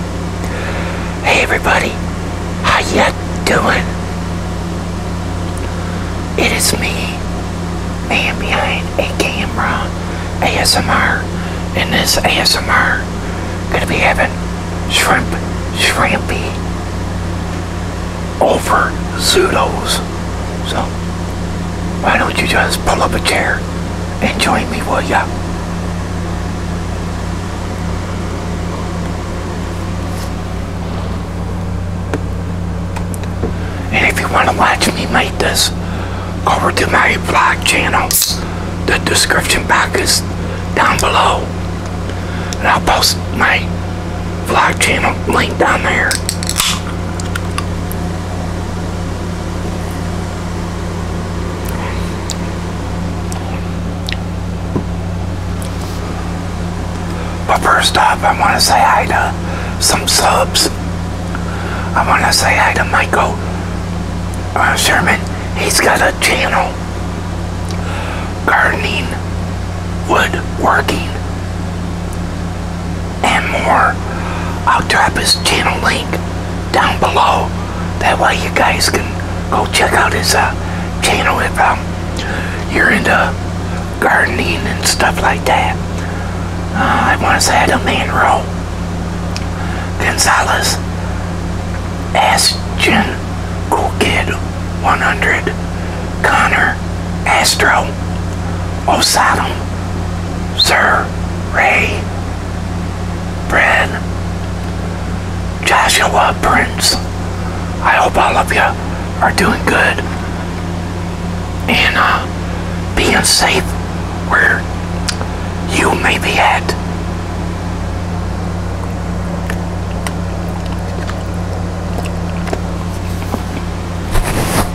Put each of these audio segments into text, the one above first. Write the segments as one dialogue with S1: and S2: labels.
S1: Hey everybody, how ya doing? It is me, man behind a camera, ASMR, and this ASMR gonna be having shrimp shrimpy over Zudo's. So why don't you just pull up a chair and join me, will ya? And if you want to watch me make this, go over to my vlog channel. The description box is down below. And I'll post my vlog channel link down there. But first up, I want to say hi to some subs. I want to say hi to Michael uh, Sherman. He's got a channel, gardening, woodworking, and more. I'll drop his channel link down below. That way you guys can go check out his uh, channel if um, you're into gardening and stuff like that. Uh, I want to say Adam Manro Gonzalez Ashton Cool Kid 100 Connor Astro Osato, Sir Ray Brad, Joshua Prince. I hope all of you are doing good and uh, being safe where you may be at.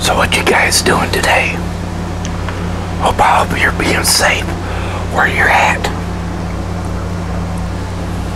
S1: So what you guys doing today? Hope all of you're being safe where you're at.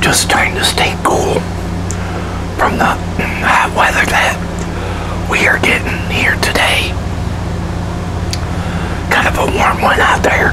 S1: Just trying to stay cool from the hot weather that we are getting here today. Kind of a warm one out there.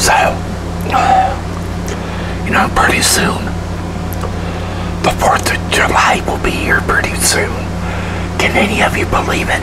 S1: So, you know, pretty soon, the 4th of July will be here pretty soon. Can any of you believe it?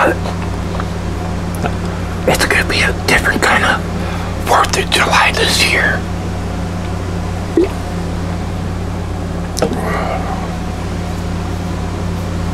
S1: But it's going to be a different kind of 4th of July this year.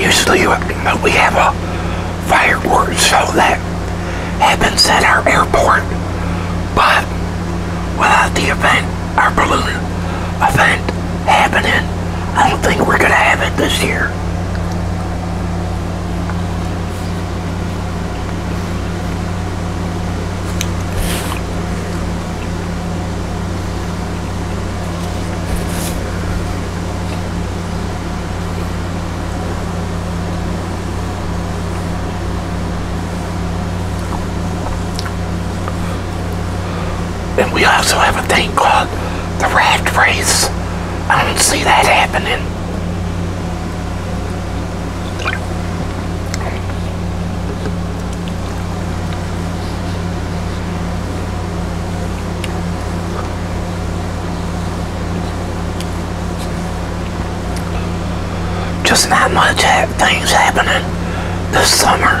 S1: usually we have a fireworks show that happens at our airport, but without the event, our balloon event happening, I don't think we're going to have it this year. And we also have a thing called the raft race. I don't see that happening. Just not much ha eh, things happening this summer.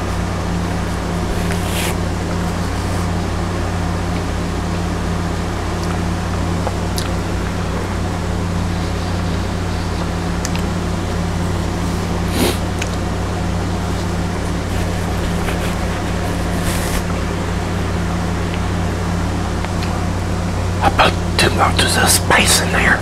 S1: About two much of space in there.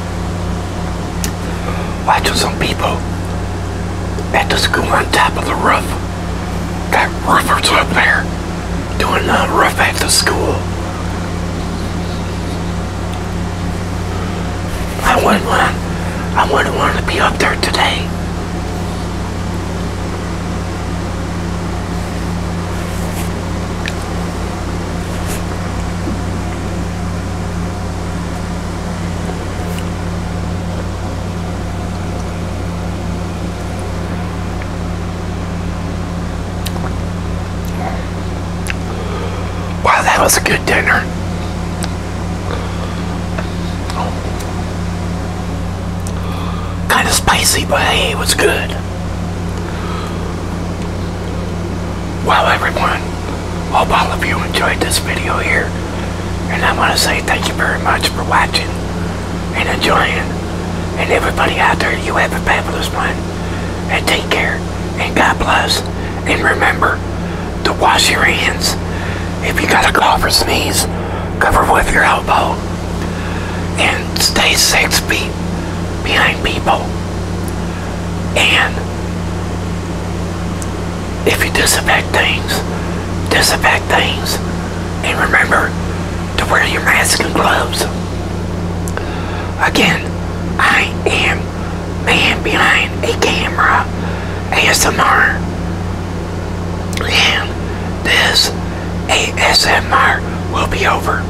S1: Watching some people at the school on top of the roof. Got roofers up there doing the roof at the school. I wouldn't want I wouldn't want to be up there today. Wow, that was a good dinner. Kind of spicy, but hey, it was good. Wow, everyone. Hope all of you enjoyed this video here. And I want to say thank you very much for watching and enjoying. And everybody out there, you have a fabulous one. And take care. And God bless. And remember to wash your hands. If you got a cough or sneeze, cover with your elbow. And stay six feet behind people. And if you disinfect things, disinfect things, and remember to wear your mask and gloves. Again, I am man behind a camera ASMR. And this ASMR will be over.